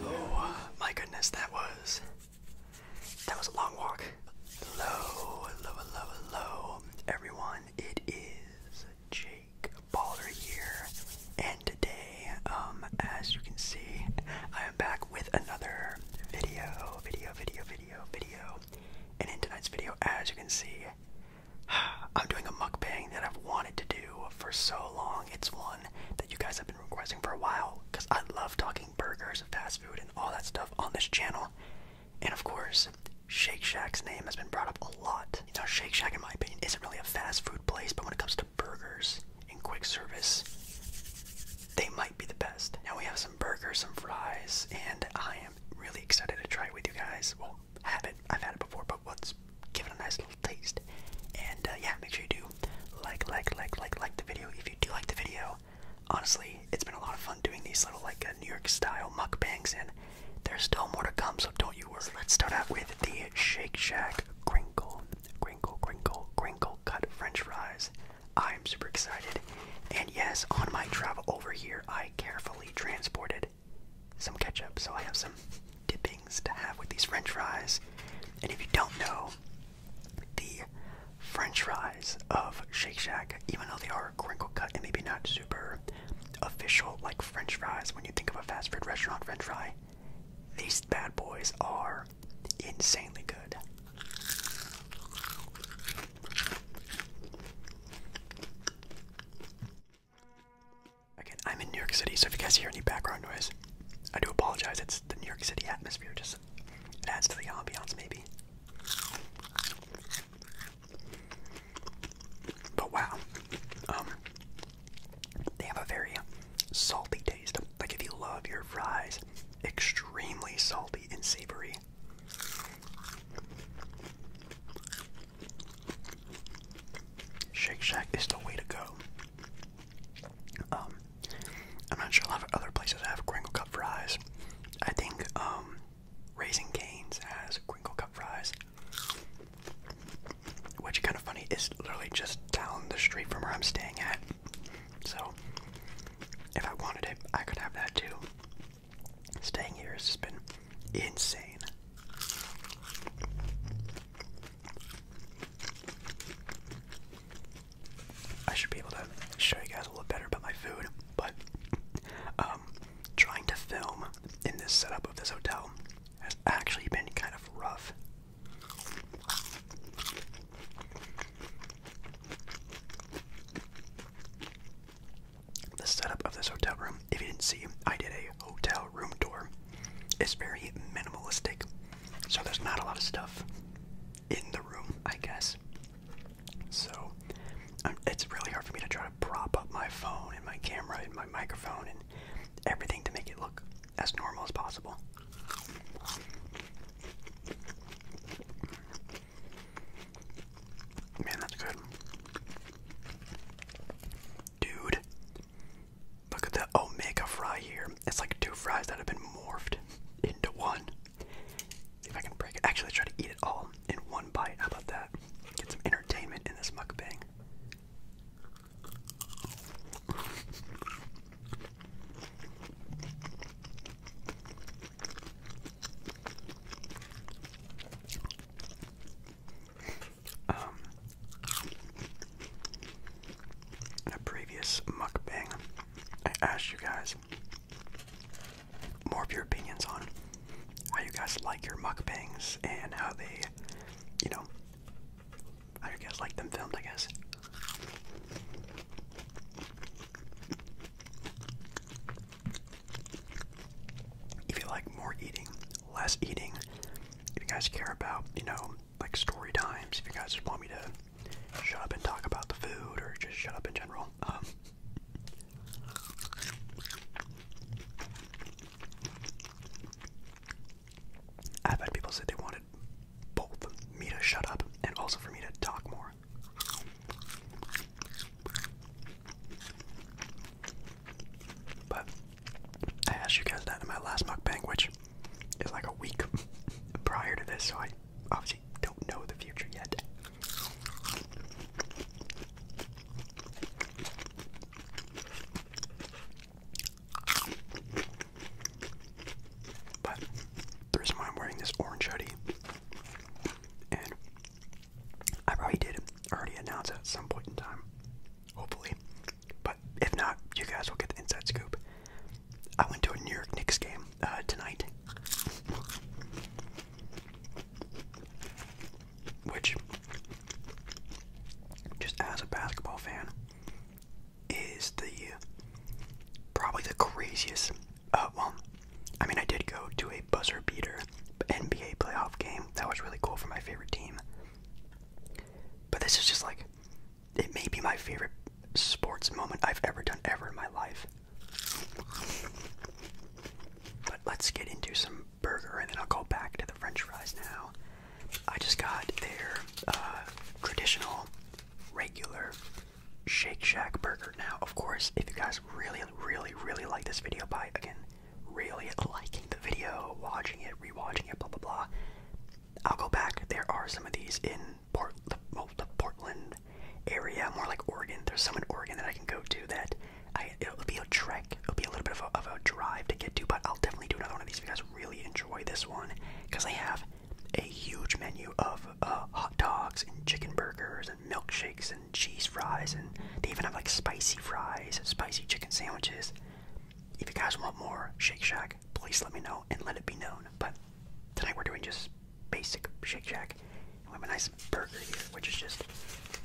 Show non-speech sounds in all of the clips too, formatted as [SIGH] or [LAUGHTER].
Oh my goodness, that was that was a long walk. Hello, hello, hello, hello, everyone. It is Jay baller year and today um as you can see I am back with another video video video video video and in tonight's video as you can see [SIGHS] I'm doing a mukbang that I've wanted to do for so long it's one that you guys have been requesting for a while because I love talking burgers fast food and all that stuff on this channel and of course Shake Shack's name has been brought up a lot. You know, Shake Shack, in my opinion, isn't really a fast food place, but when it comes to burgers and quick service, they might be the best. Now we have some burgers, some fries, and I am really excited to try it with you guys. Well, have it. I've had it before, but let's give it a nice little taste. And uh, yeah, make sure you do like, like, like, like, like the video. If you do like the video, honestly, it's been a lot of fun doing these little like uh, New York style mukbangs and there's still more to come, so don't you worry. Let's start out with the Shake Shack Crinkle, Crinkle, Crinkle, Crinkle Cut French Fries. I'm super excited. And yes, on my travel over here, I carefully transported some ketchup, so I have some dippings to have with these French fries. And if you don't know, the French fries of Shake Shack, even though they are crinkle cut and maybe not super official like french fries. When you think of a fast food restaurant french fry, these bad boys are insanely good. Again, I'm in New York City, so if you guys hear any background noise, I do apologize. It's the New York City atmosphere, just it adds to the ambiance, maybe. But wow, um, they have a very salty taste. Like if you love your fries, extremely salty and savory. Shake Shack is the way to go. Um, I'm not sure a lot other places have Gringo Cup fries. I think um, Raising Cane's has Gringo Cup fries. Which kind of funny is literally just down the street from where I'm staying at. So if I wanted it, I could have that too. Staying here has just been insane. I should be able to show you guys a little better about my food, but um, trying to film in this setup of this hotel has actually been kind of rough. The setup of this hotel room, if you didn't see, I did a hotel room tour. It's very minimalistic, so there's not a lot of stuff in the room, I guess. So um, it's really hard for me to try to prop up my phone and my camera and microphone and everything to make it look as normal as possible. Man, that's good. Dude, look at the Omega fry here. It's like two fries that have been morphed into one. If I can break it, actually, try to eat it all in one bite. How about that? that. Get some entertainment in this mukbang. Um, in a previous mukbang, I asked you guys more of your opinions on how you guys like your mukbangs and how they, you know, how you guys like them filmed, I guess. If you like more eating, less eating, if you guys care about, you know, like story times, if you guys want me to shut up and talk about the food or just shut up in general, um, I've had people say they wanted both me to shut up and also for me to talk more. But I asked you guys that in my last mukbang, which is like a week [LAUGHS] prior to this, so I obviously don't know the future yet. But the reason why I'm wearing this orange hoodie, and I probably did already announce at some point in time, hopefully. But if not, you guys will get the inside scoop. I went to a New York Knicks game uh, tonight which just as a basketball fan is the probably the craziest uh well I mean I did go to a buzzer beater NBA playoff game that was really cool for my favorite team but this is just like it may be my favorite sports moment I've ever done ever in my life but let's get into some burger, and then I'll go back to the French fries now. I just got their uh, traditional, regular Shake Shack burger. Now, of course, if you guys really, really, really like this video, by again, really liking the video, watching it, rewatching it, blah blah blah. I'll go back. There are some of these in Port, the, well, the Portland area, more like Oregon. There's some in Oregon that I can go do that it'll be a trek. It'll be a little bit of a, drive to get to, but I'll definitely do another one of these if you guys really enjoy this one. Because they have a huge menu of uh, hot dogs and chicken burgers and milkshakes and cheese fries, and they even have like spicy fries, and spicy chicken sandwiches. If you guys want more Shake Shack, please let me know and let it be known. But tonight we're doing just basic Shake Shack. we have a nice burger here, which is just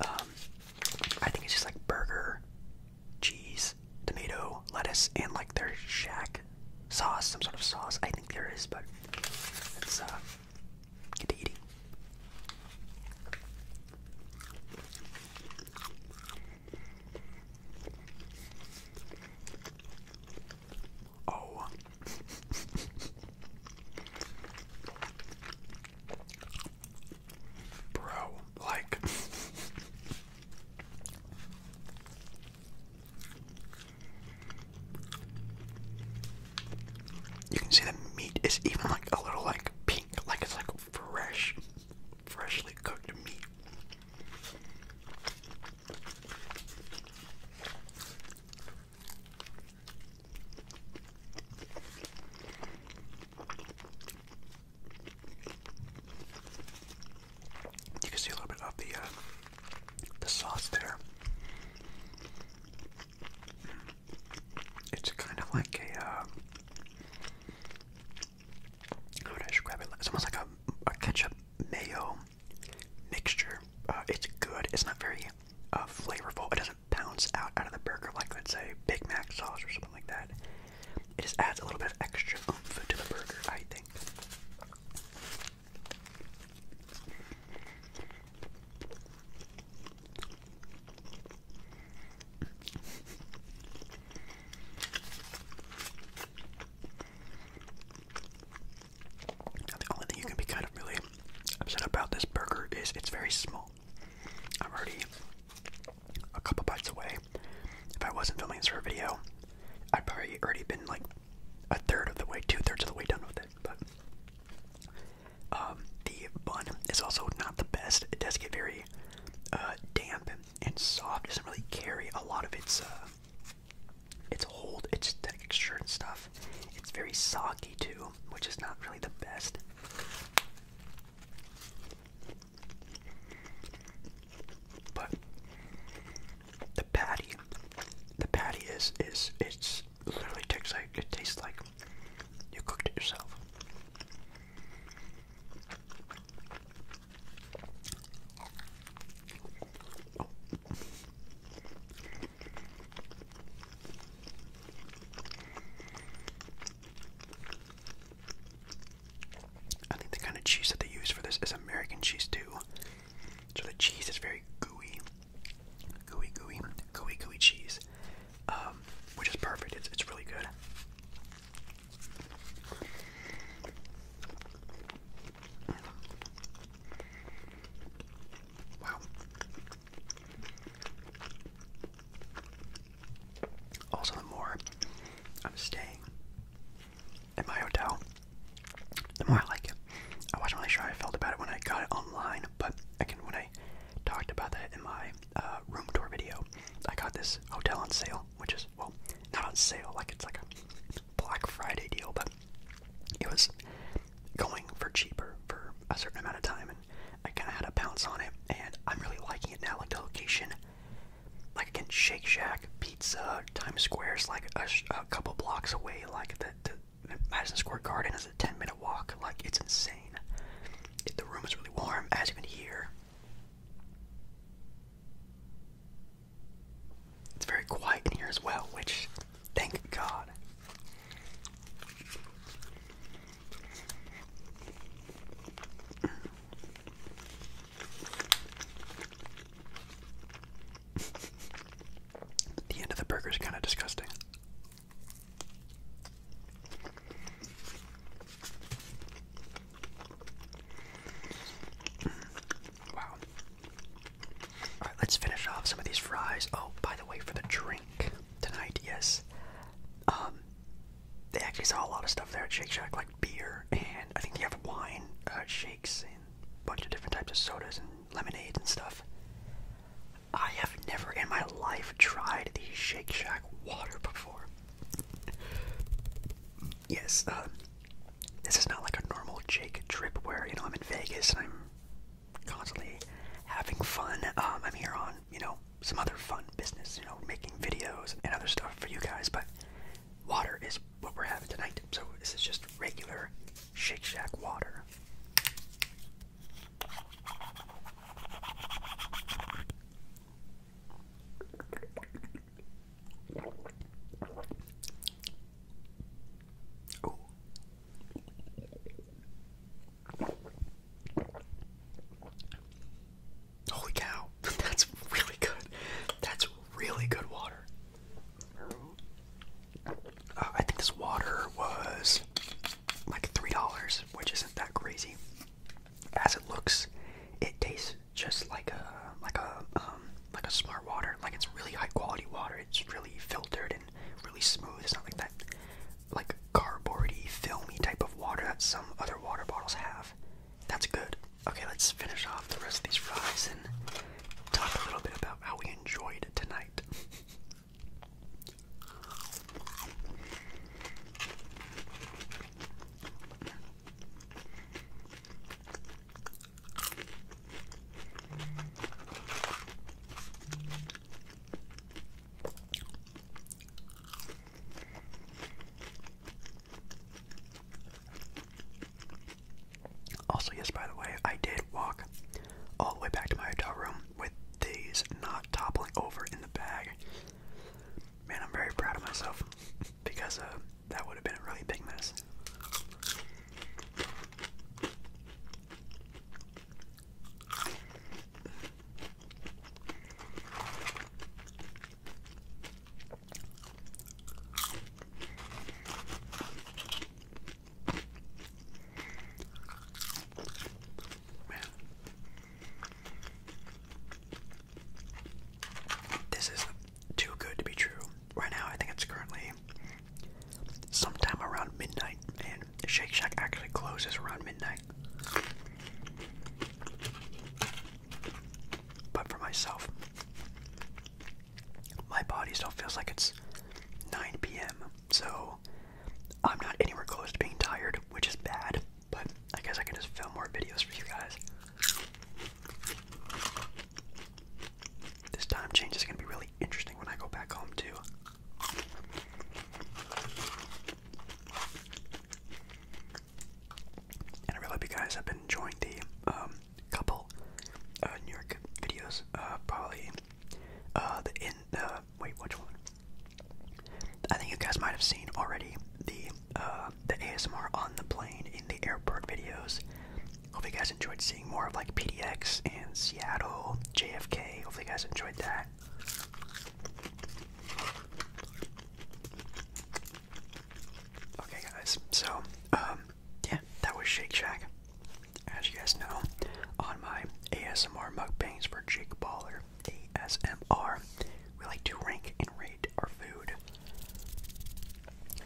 um, I think it's just like burger, cheese, tomato, lettuce, and like their shack sauce, some sort of sauce. I think there is, but let's uh, get eating. Oh. [LAUGHS] Bro, like. you can see the meat is even like a little like pink, like it's like fresh, freshly cooked meat. You can see a little bit of the uh, the sauce there. It's kind of like a uh, how I describe it? It's almost like a, ketchup mayo mixture. Uh, it's good. It's not very uh, flavorful. It doesn't pounce out out of the burger, like let's say Big Mac sauce or something like that. It just adds a little bit of extra oomph to the burger, I think. the only thing you can be kind of really upset about this burger is it's very small. I'm already a couple bites away. If I wasn't filming this for a video, I'd probably already been like a third of the way, two thirds of the way done with it. But um, the bun is also not the best. It does get very uh, damp and soft. doesn't really carry a lot of its uh, its hold, its texture and stuff. It's very soggy too, which is not really the best. But the patty, the patty is is it's literally tastes like it tastes like you cooked it yourself. I think the kind of cheese that they use for this is American cheese too. So the cheese is very gooey, gooey, gooey, gooey, gooey cheese, um, which is perfect. It's it's really good. Wow, also, the more I'm staying at my hotel, the more I like it. I wasn't really sure I felt about it when I got it online, but again, when I talked about that in my uh, room tour video, I got this hotel on sale, which is, well, not on sale, like it's like a Black Friday deal, but it was going for cheaper for a certain amount of time, I kind of had a bounce on it, and I'm really liking it now. Like the location, like again, Shake Shack, Pizza, Times Square's like a, couple blocks away. Like the, the Madison Square Garden is a 10 minute walk. Like it's insane. It, the room is really warm, as you can hear. It's very quiet in here as well, which, thank God. [LAUGHS] the end of the burger is kind of disgusting. Wow. Alright, let's finish off some of these fries. Oh, by the way, for the drink, tonight, yes. Um, they actually saw a lot of stuff there at Shake Shack, like beer, and I think they have wine, uh, shakes, and a bunch of different types of sodas and lemonades and stuff. I have never in my life tried the Shake Shack water before. yes, uh, this is not like a normal Jake trip where, you know, I'm in Vegas and I'm constantly having fun. Um, I'm here on, you know, some other fun business, you know, making videos and other stuff for you guys, but water is what we're having tonight. So this is just regular Shake Shack water. Holy cow, [LAUGHS] that's really good. That's really good water. Uh, I think this water was like $3, which isn't that crazy. As it looks, it tastes just like a like a um, like a smart water. Like it's really high quality water. It's really filtered and really smooth. It's not like that like cardboardy, filmy type of water that some other water bottles have. That's good. Okay, let's finish off the rest of these fries and talk a little bit about how we enjoyed tonight. Also, yes, by the way, I did walk all the way back to my hotel room with these not toppling over in the bag. Man, I'm very proud of myself [LAUGHS] because uh, that would have been a really big mess. Man. This is too good to be true. Right now, I think it's currently sometime around midnight, and Shake Shack actually closes around midnight. But for myself, my body still feels like it's 9 p.m., so I'm not anywhere close to being tired, which is bad, but I guess I can just film more videos for you guys. This time change is going to be really interesting when I go back home, too. I really hope you guys have been enjoying the um, couple uh, New York videos. Uh, probably uh, the in wait, which one? I think you guys might have seen already the the ASMR on the plane in the airport videos. Hope you guys enjoyed seeing more of like PDX and Seattle, JFK. Hopefully you guys enjoyed that. Okay, guys, so, um, yeah, that was Shake Shack. As you guys know, on my ASMR mug mukbangs for Jake Baller, ASMR, we like to rank and rate our food.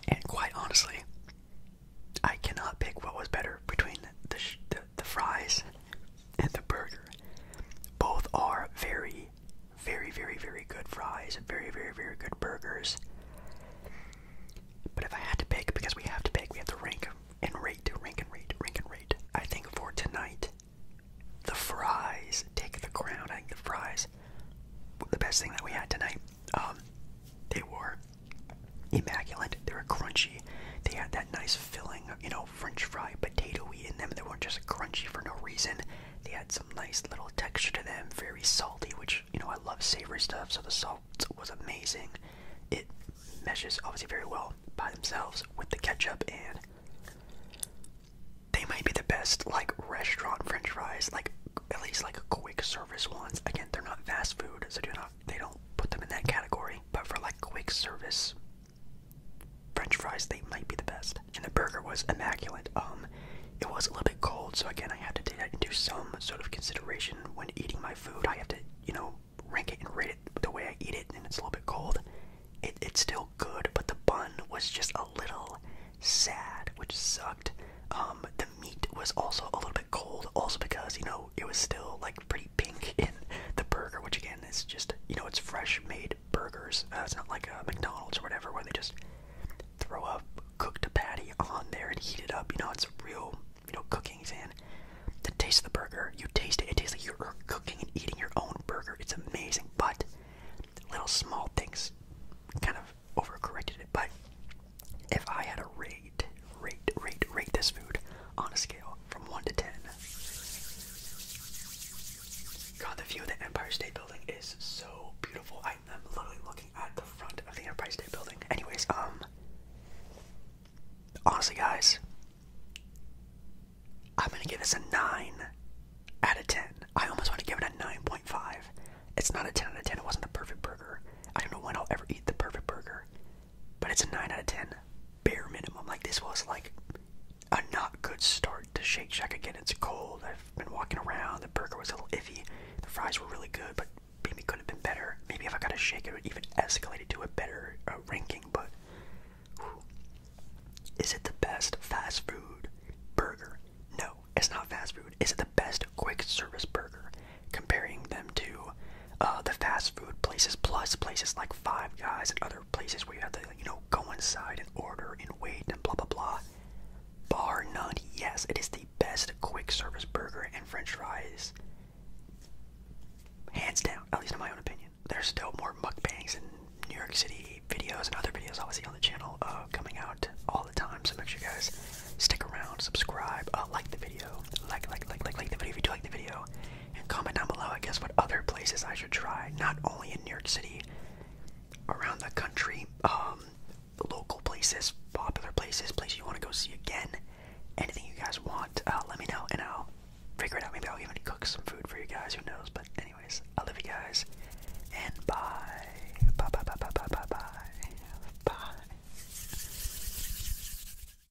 And quite honestly, I cannot pick what was better between the, the the, fries and the burger. Both are very, very, very, very good fries and very, very, very good burgers. But if I had to pick, because we have to pick, we have to rank and rate, rank and rate, rank and rate. I think for tonight, the fries take the crown. I think the fries, the best thing that we had tonight. Um, they were immaculate. They were crunchy. They had that nice filling, you know, know, french fry, potatoey in them. They weren't just crunchy for no reason. They had some nice little texture to them, very salty, which, you know, I love savory stuff, so the salt was amazing. It meshes obviously very well by themselves with the ketchup, and they might be the best, like, restaurant french fries, like, at least like quick service ones. Again, they're not fast food, so do not they don't put them in that category, but for like quick service French fries, they might be the best. And the burger was immaculate. Um, it was a little bit cold, so again, I have to take into some sort of consideration when eating my food. I have to, you know, rank it and rate it the way I eat it, and it's a little bit cold. it's still good, but the bun was just a little sad, which sucked. Um, the meat was also a little bit cold, also because you know it was still like pretty pink in the burger, which again is just you know it's fresh made burgers. Uh, it's not like a uh, McDonald's or whatever where they just throw a cooked patty on there and heat it up. You know it's real you know cooking fan. The taste of the burger, you taste it. It tastes like you're cooking and eating your own burger. It's amazing, but little small things kind of overcorrected it. But if I had a rig rate, rate, rate, rate this food on a scale from 1 to 10. God, the view of the Empire State Building is so beautiful. I am literally looking at the front of the Empire State Building. Anyways, um, honestly, guys, I'm gonna give this a 9 out of 10. I almost want to give it a 9.5. It's not a 10 out of 10, it wasn't the perfect burger. I don't know when I'll ever eat the perfect burger. But it's a 9 out of 10, bare minimum. Like, this was like a not good start to Shake Shack. Again, it's cold. I've been walking around. The burger was a little iffy. The fries were really good, but maybe could have been better. Maybe if I got a shake, it would even escalate it to a better uh, ranking. But is it the best fast food burger? No, it's not fast food. Is it the best quick service burger? Comparing them to uh, the fast food places, plus places like Five Guys and other places where you have to, you know, go inside and order and wait and blah blah blah. Bar none, yes, it is the best quick service burger and French fries, hands down. At least in my own opinion. There's still more mukbangs in New York City videos and other videos, obviously, on the channel uh, coming out all the time. So make sure you guys stick around, subscribe, uh, like the video, like, like, like, like, like the video if you do like the video and comment down below, I guess, what other places I should try, not only in New York City, around the country, um, local places, popular places, places you want to go see again, anything you guys want, uh, let me know, and I'll figure it out. Maybe I'll even cook some food for you guys, who knows, but anyways, I love you guys, and bye. Bye, bye, bye, bye, bye, bye, bye. Bye.